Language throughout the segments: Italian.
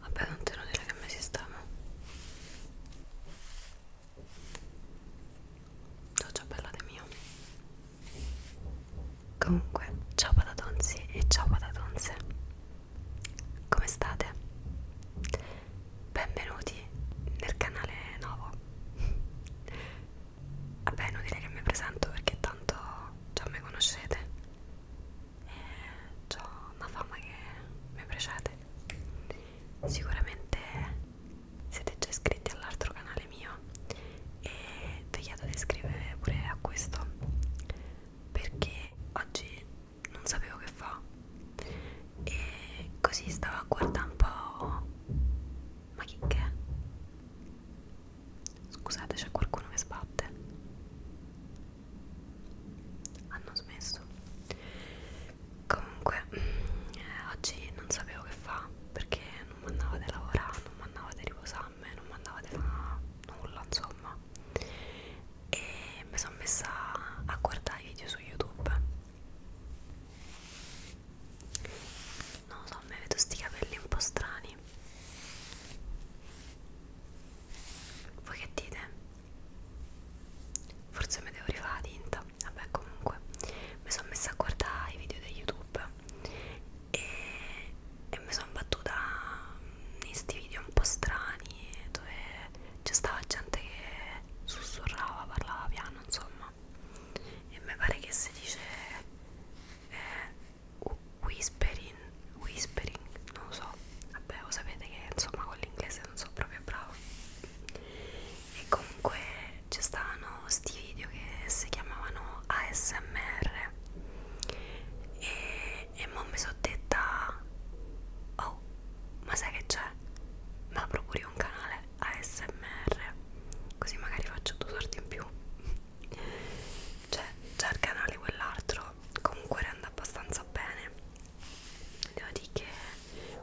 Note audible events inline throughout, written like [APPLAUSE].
Vabbè, non te lo dire che mi sistema. Ciao ciao bella di mio. Comunque, ciao patatonzi e ciao patatonze. Come state? Benvenuti nel canale nuovo. Vabbè, non dire che mi presento perché tanto già mi conoscete e ho una fama che mi precede. Sicuramente siete già iscritti all'altro canale mio e vi chiedo di iscrivervi pure a questo perché oggi non sapevo che fa e così stavo a guardare un po' ma chi che è? Scusate, c'è qualcuno che sbatte. Hanno smesso. Comunque, eh, oggi non sapevo che fa perché non mi andava di lavorare, non mi andava di riposarmi, non mi andava di fare nulla, insomma. E mi sono messa a guardare i video su YouTube non lo so, mi vedo sti capelli un po' strani voi che dite? forse mi devo rifare la tinta vabbè comunque mi sono messa a guardare i video di youtube e, e mi sono battuta in questi video un po' strani dove c'è stava gente che sussurrava, parlava piano insomma chiama e mi pare che si dice eh, whispering whispering non lo so vabbè lo sapete che insomma con l'inglese non sono proprio bravo e comunque ci stavano sti video che si chiamavano ASMR e, e mo mi sono detta oh ma sai che c'è? Ma procuri un canale ASMR così magari faccio due sorti in più cioè già il canale quell'altro comunque rende abbastanza bene devo dire che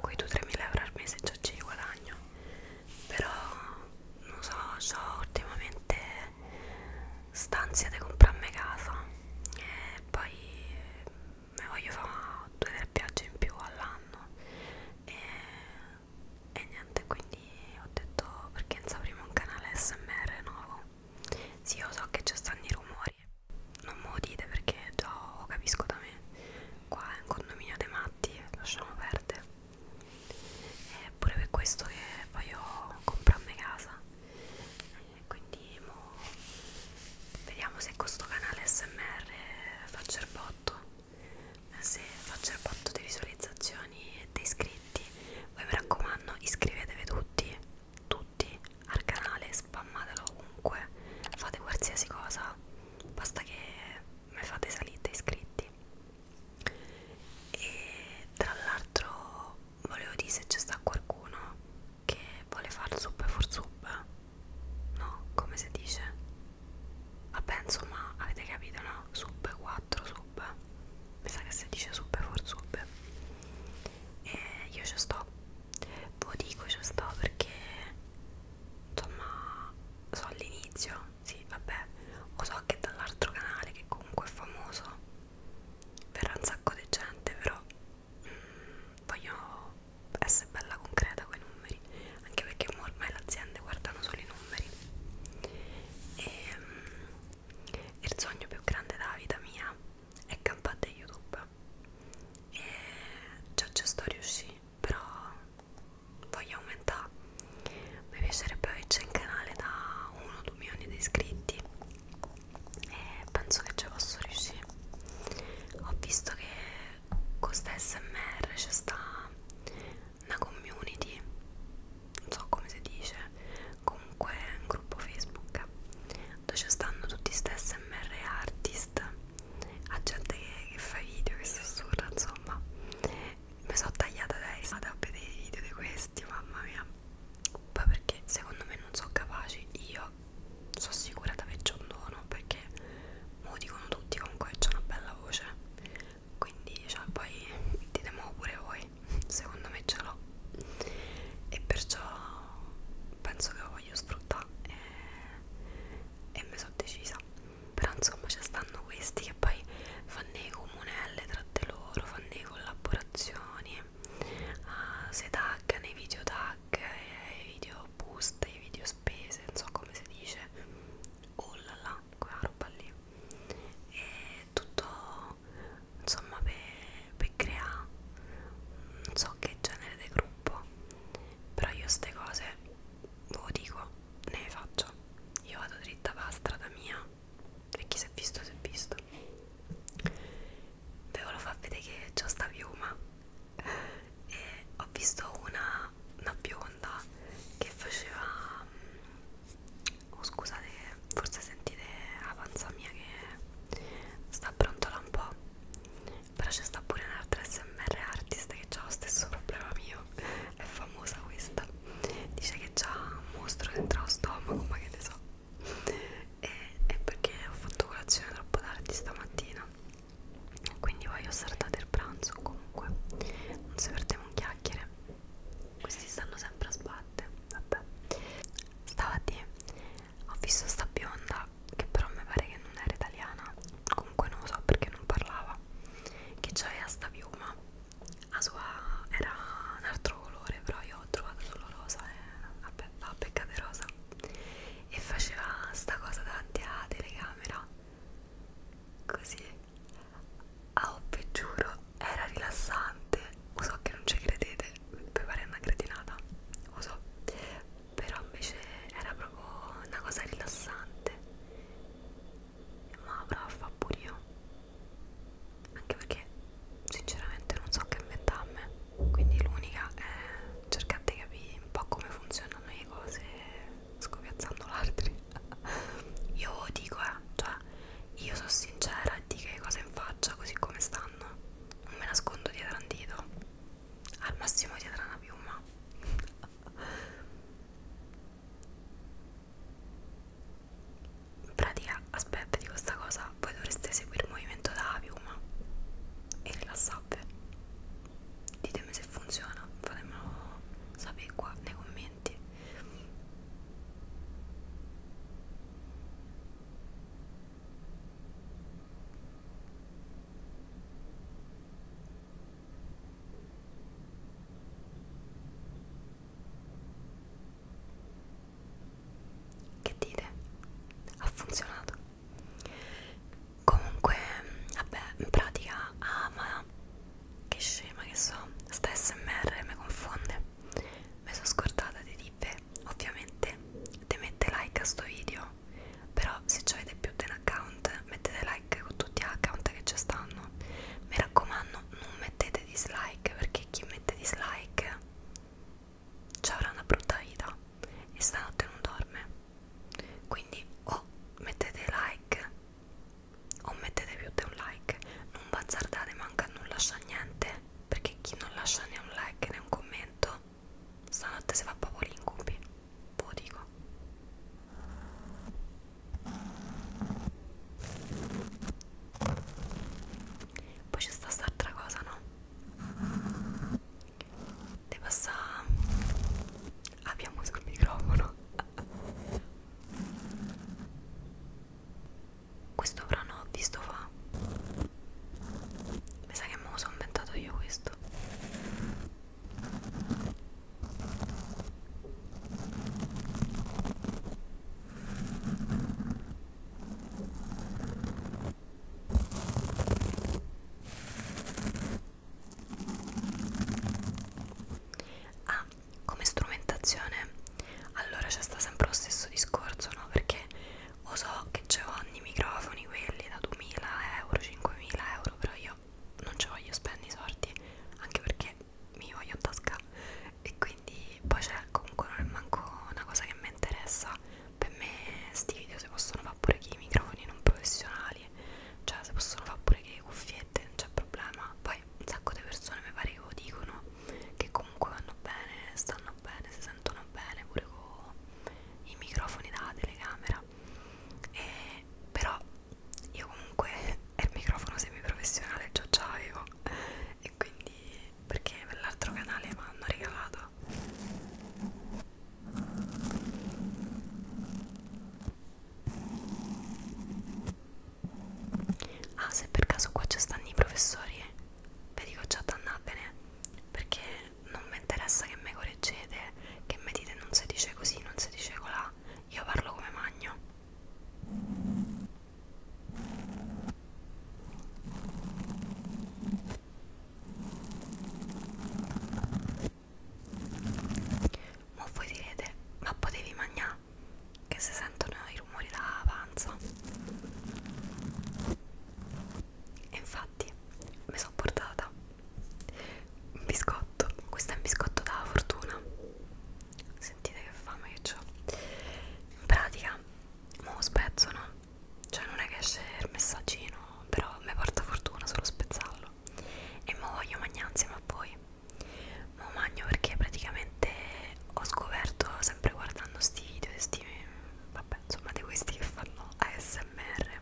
quei 2-3 mila euro al mese già ci guadagno però non so, so ultimamente stanzia di comprarmi casa e poi me voglio fare due o tre viaggi in più all'anno e e niente quindi ho detto perché non apriamo un canale smr nuovo sì io so che ci stanno i rumori non me lo dite perché già lo capisco da me qua è un condominio dei matti lasciamo perdere è pure per questo che voglio comprarmi casa e quindi mo vediamo se con questo canale smr faccio il botto se faccio il botto di visualizzazioni e di iscritti voi mi raccomando iscrivetevi tutti tutti al canale spammatelo ovunque fate qualsiasi cosa basta che mi fate salire da iscritti e tra l'altro volevo dire se c'è sta qualcuno che vuole far sub for sub no come si dice Vabbè, insomma, avete capito, no? Sub 4 sub. Mi sa che si dice sub for sub. E io ci sto. Ve dico ci sto perché insomma so all'inizio, sì, vabbè, o so che dall'altro canale che comunque è famoso verrà un sacco di gente, però mm, voglio essere bella concreta con i numeri anche perché ormai le aziende guardano solo i numeri e um, il sogno più grande della vita mia è campare youtube e già ci sto riuscì però voglio aumentare mi piacerebbe averci un canale da 1-2 milioni di iscritti e penso che ci posso riuscire ho visto che con questa smr c'è sta una community non so come si dice comunque è un gruppo facebook dove ci stanno tutti stessi smr artist a gente che, che fa video che sussurra insomma mi sono tagliata adesso ad a vedere i video di questi mamma mia poi perché secondo me non sono capaci io sono sicura di averci un dono perché me lo dicono tutti comunque c'è una bella voce quindi cioè, poi ditemi pure voi secondo me ce l'ho e perciò penso che lo voglio sfruttare e, e mi sono decisa però insomma ci stanno questi che poi fanno i comunelle tra di loro fanno le collaborazioni uh, eh, se taggano i video tag eh, i video boost i video spese non so come si dice oh là là quella roba lì e tutto insomma per pe creare non so che genere di gruppo però io ste cose ve lo dico ne le faccio io vado dritta per la strada mia e chi si è visto si è visto ve lo fa vedere che c'ho sta piuma e ho visto una, una bionda che faceva oh, scusate forse sentite la panza mia che sta brontola un po' però c'è sta pure un'altra smr artist che ha lo stesso problema mio è famosa questa dice che c'ha un mostro dentro lo stomaco ma che ne so e, è perché ho fatto colazione troppo tardi stamattina quindi voglio saltare il pranzo comunque non si perde un chiacchiere questi stanno sempre a sbatte vabbè stavati ho visto sta bionda che però mi pare che non era italiana comunque non lo so perché non parlava che c'aveva sta piuma la sua era un altro colore però io ho trovato solo rosa e vabbè va peccate rosa e faceva sta cosa davanti alla telecamera così a ah, oh, vi giuro era rilassante lo so che non ci credete per fare una cretinata lo so però invece era proprio una cosa rilassante ma brava fa pure io anche perché sinceramente non so che inventa a me quindi l'unica è cercare di capire un po' come funzionano le cose scopiazzando l'altri [LAUGHS] io dico eh cioè io sono sincera e dico le cose in faccia così come stanno non me nascondo dietro un dito al massimo dietro una piuma in pratica aspetta di questa cosa voi dovreste seguire il movimento della piuma e rilassate ditemi se funziona fatemelo sapere qua nei commenti che dite? Ha funzionato. Comunque, vabbè, in pratica ama che scema che so, sta smr mi confonde. Mi sono scordata di dire, ovviamente, di mettere like a sto video. Però se avete più di un account, mettete like con tutti gli account che ci stanno. Mi raccomando, non mettete dislike, perché chi mette dislike ci avrà una brutta vita e stanotte non dorme. Quindi o mettete like o mettete più di un like non bazzardate manca non lascia niente perché chi non lascia né un like né un commento stanotte si fa proprio l'incubi ve lo dico poi c'è sta st'altra cosa no? di passare abbiamo sul microfono [LAUGHS] Questo avrà no di sto fa. Mi sa che me lo sono inventato io questo. Ah, come strumentazione allora c'è sta sempre lo stesso discorso no perché lo so che c'è ogni microfoni quelli da 2000 euro 5000 euro però io non ci voglio spendere i soldi anche perché mi voglio a tasca e quindi poi c'è comunque non è manco una cosa che mi interessa per me sti video si possono fare pure che i microfoni non professionali cioè si possono fare pure che le cuffiette non c'è problema poi sai, un sacco di persone mi pare che lo dicono che comunque vanno bene, stanno bene, si sentono bene pure con i microfoni da telecamera. E, però io comunque [LAUGHS] il microfono semiprofessionale già ce l'avevo e quindi perché per l'altro canale mi hanno regalato Ah, se per caso qua ci stanno i professori, eh. vi dico già dannatene, perché non mi interessa che mi correggete, che mi dite non si dice così, non si dice colà, io parlo come magno. Ma voi direte, ma potevi mangiare? strana che si sentono i rumori da panza e infatti mi sono portata un biscotto questo è un biscotto da fortuna sentite che fame che ho in pratica mo spezzo no cioè non è che esce il messaggino però mi porta fortuna solo spezzarlo e mo voglio mangiare insieme a voi ma magno perché praticamente ho scoperto sempre guardando questi video sti, vabbè insomma di questi che fanno ASMR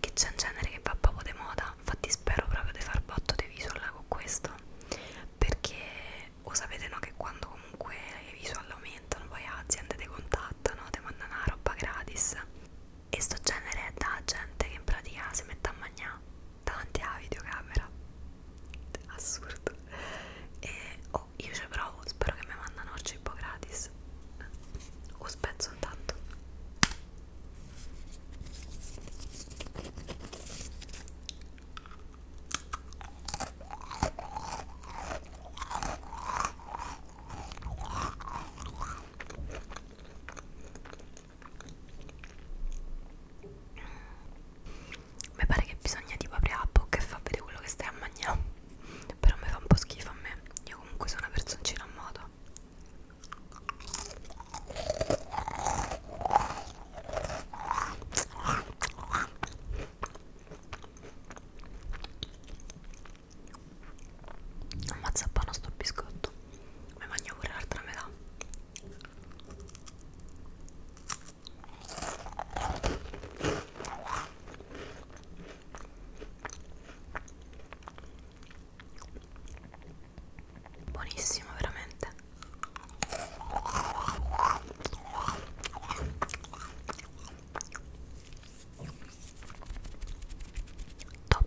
che c'è un genere che va proprio di moda infatti spero proprio di far botto di visual con questo perché o sapete no che quando comunque le visual aumentano poi aziende ti contattano ti mandano una roba gratis e sto genere è da gente che in pratica si mette a mangiare davanti alla videocamera assurdo e oh, io ci provo spero che mi mandano il cibo gratis o spezzo intanto mi pare che bisogna tipo aprire la bocca e far vedere quello che stai a mangiare però mi fa un po' schifo a me io comunque sono una personcina a modo ammazza buono sto biscotto me mangio pure l'altra metà buonissimo veramente top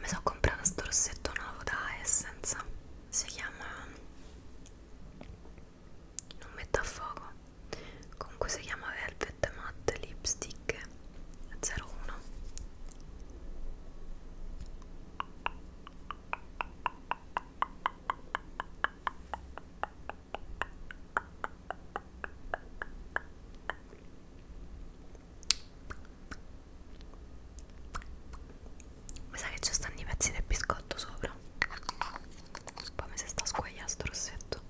mi sono comprato questo rossetto nuovo da Essence si chiama non metto a fuoco comunque si chiama Velvet Matte Lipstick 01 mi sa che ci stanno i pezzi del biscotto sopra. Poi mi si sta squagliando sto rossetto.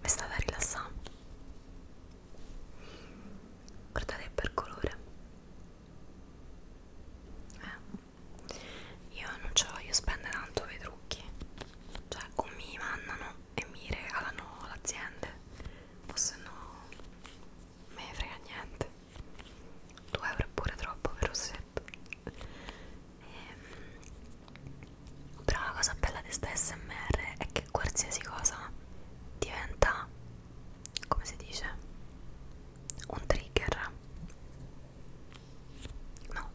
Mi sta da rilassare guardate per colore eh. io non ce voglio spendere tanto per i trucchi cioè o mi mandano e mi regalano l'azienda o se no me ne frega niente 2 euro è pure troppo per rossetto ehm, però la cosa bella di sta smr è che qualsiasi cosa diventa come si dice un trigger no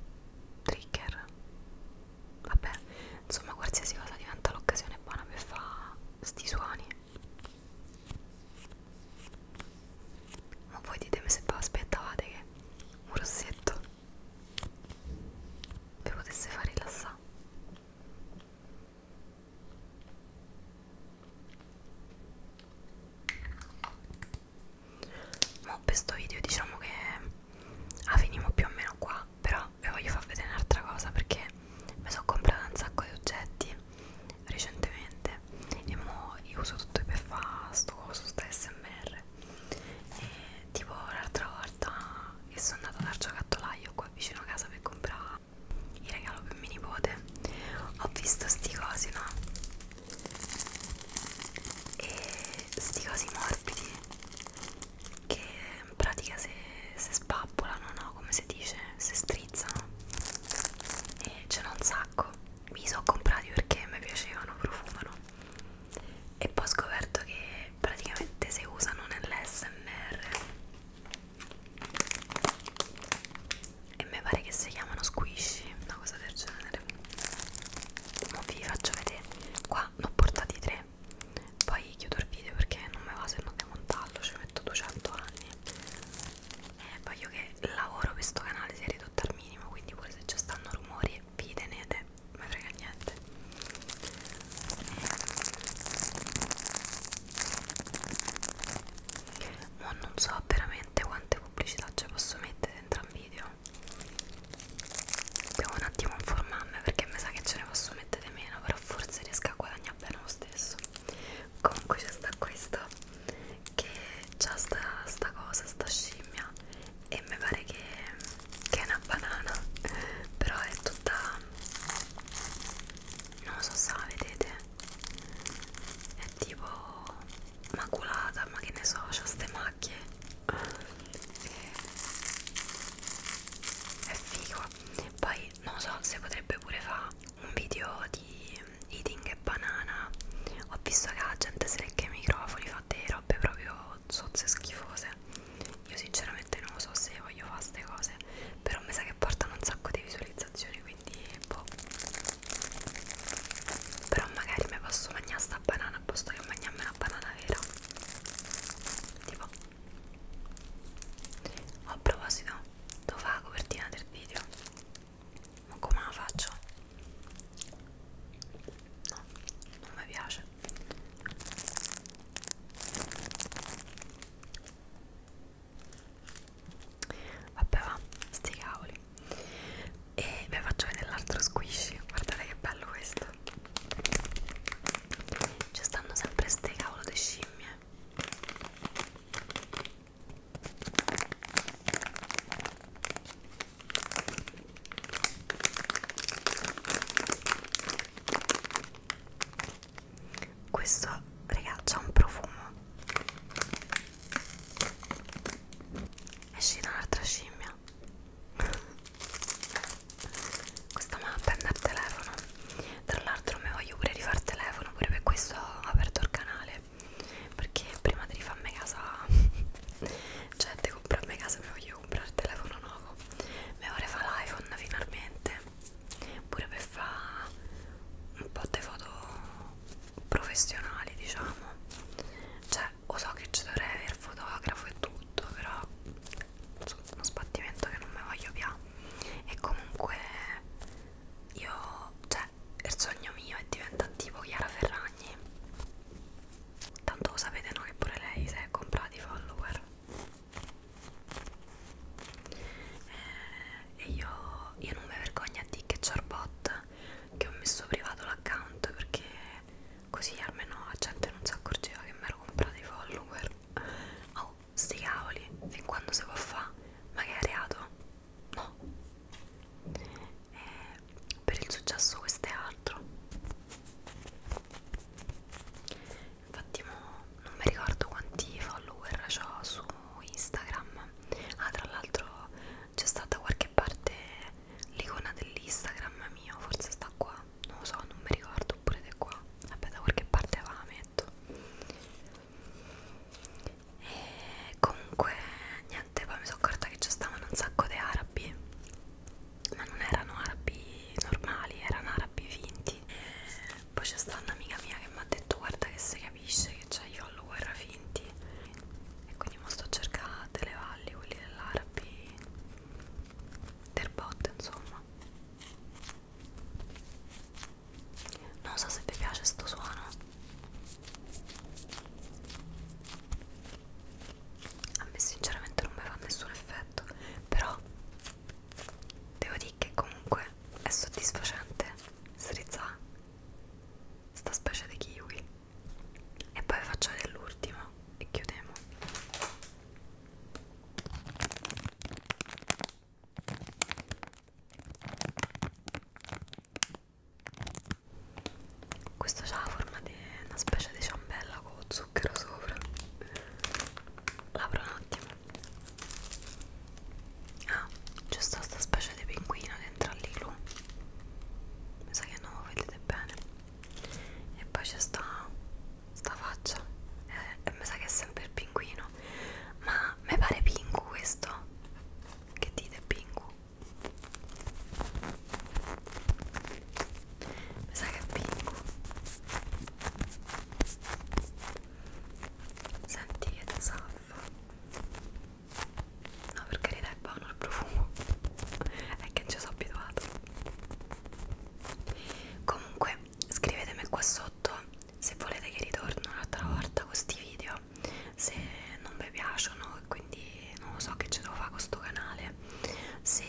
trigger vabbè insomma qualsiasi cosa diventa l'occasione buona per fare sti suoni ma voi ditemi se vi aspettavate che un rossetto vi potesse far rilassare Mo' questo video diciamo che ah, finimo più o meno qua, però vi voglio far vedere un'altra cosa perché mi sono comprata un sacco di oggetti recentemente e mo' io uso tutto per fare sto coso, sta smr e tipo l'altra volta e sono andata dal giocattolaio qua vicino a casa per comprare il regalo per mia nipote ho visto sti cosi no e sti cosi morbidi che in pratica se, se spappolano no come si dice se strizzano e ce n'ho un sacco mi sono comprati perché mi piacevano profumano e poi ho scoperto che praticamente si usano nell'SMR e mi pare che si chiamano squishy, una cosa del genere. Mo vi faccio vedere. Qua ne ho portati tre. Poi chiudo il video perché non me va se non demontarlo, ci metto 200 anni. E voglio che il lavoro per questo canale sia ridotto al minimo, quindi pure se ci stanno rumori vi tenete, non mi frega niente. Ma non so veramente quante pubblicità ci posso mettere dentro al video. Devo un attimo informarmi perché mi sa che ce ne posso mettere meno, però forse riesco a guadagnare bene lo stesso. Comunque c'è sta questo che c'ha sta, sta cosa, sta scimmia e mi pare che, che è una banana [LAUGHS] però è tutta non lo so se la vedete è tipo maculata ma che ne so c'ha ste macchie è figo poi non lo so se potrebbe pure fare un video di eating e banana ho visto che la gente se lecca i microfoni fa delle robe proprio sozze schifose cose io sinceramente non lo so se voglio fare queste cose però mi sa che portano un sacco di visualizzazioni quindi boh però magari mi posso mangiare sta banana a posto che mangiarmi una banana vera tipo a proposito devo fare la copertina del video ma come la faccio? no, non mi piace Vabbè va, sti cavoli E vi faccio vedere l'altro squishy Guardate che bello questo Ci stanno sempre ste cavolo di scimmie questo raga ha un profumo esci da un'altra scimmia [LAUGHS] questa mappa è andare telefono tra l'altro mi voglio pure rifare telefono pure per questo ho aperto il canale perché prima di rifarmi casa [LAUGHS] cioè di comprarmi casa mi voglio comprare il telefono nuovo mi vorrei fare l'iPhone finalmente pure per fare un po' di foto professionali diciamo cioè lo so che ci dovrei avere fotografo e tutto però uno sbattimento che non mi voglio più e comunque io cioè il sogno mio è diventare tipo Chiara Ferragni tanto lo sapete no che pure lei si è comprati i follower eh, e io, io non mi vergogno a dire che c'è il bot che ho messo privato l'account perché così almeno la gente non si accorgeva che mi ero comprato i follower oh sti cavoli fin quando si può fare ma che è reato no eh, per il successo questo è altro infatti mo non mi ricordo quanti follower ho su Instagram ah tra l'altro c'è stata qualche parte l'icona dell'Instagram mio forse sta qua non lo so non mi ricordo oppure è qua vabbè da qualche parte va metto e comunque niente poi mi sono accorta che ci stavano un sacco di arabi ma non erano arabi normali, erano arabi finti poi c'è stata un'amica mia che mi ha detto guarda che si capisce che c'hai i follower finti e quindi mo sto cercando delle valli, quelli dell'arabi del bot insomma non so se vi piace sto suono a me sinceramente non mi fa nessun effetto però devo dire che comunque è soddisfacente strizzare sta specie di kiwi e poi faccio dell'ultimo e chiudiamo questo ha la forma di una specie di ciambella con zucchero sopra l'apro un attimo Ah, c'è sta sta specie di pinguino dentro all'ilu Mi sa che non lo vedete bene E poi c'è sta, sta faccia e, eh, e mi sa che è sempre il pinguino Ma mi pare pingu questo Che dite pingu? Mi sa che è pingu Senti che zaffo No per carità è buono il profumo È che ci sono abituato Comunque scrivetemi qua sotto Se volete che ritorno un'altra volta questi video Se non vi piacciono e quindi non lo so che ce devo fare con questo canale Se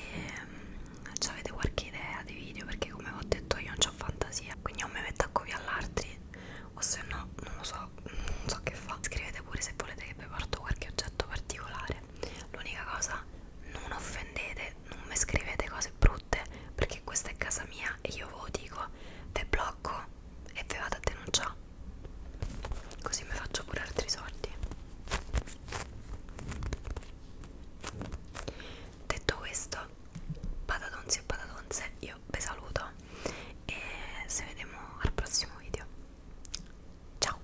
cioè, avete qualche idea di video perché come vi ho detto io non ho fantasia quindi o mi metto a copiare all'altri o se no non lo so non so che fa scrivete pure se volete che vi porto qualche oggetto particolare l'unica cosa non offendete non mi scrivete cose brutte perché questa è casa mia e io ve lo dico ve blocco e ve vado a denunciare così mi faccio pure altri soldi detto questo patatons e patatonze io vi saluto e ci vediamo al prossimo video ciao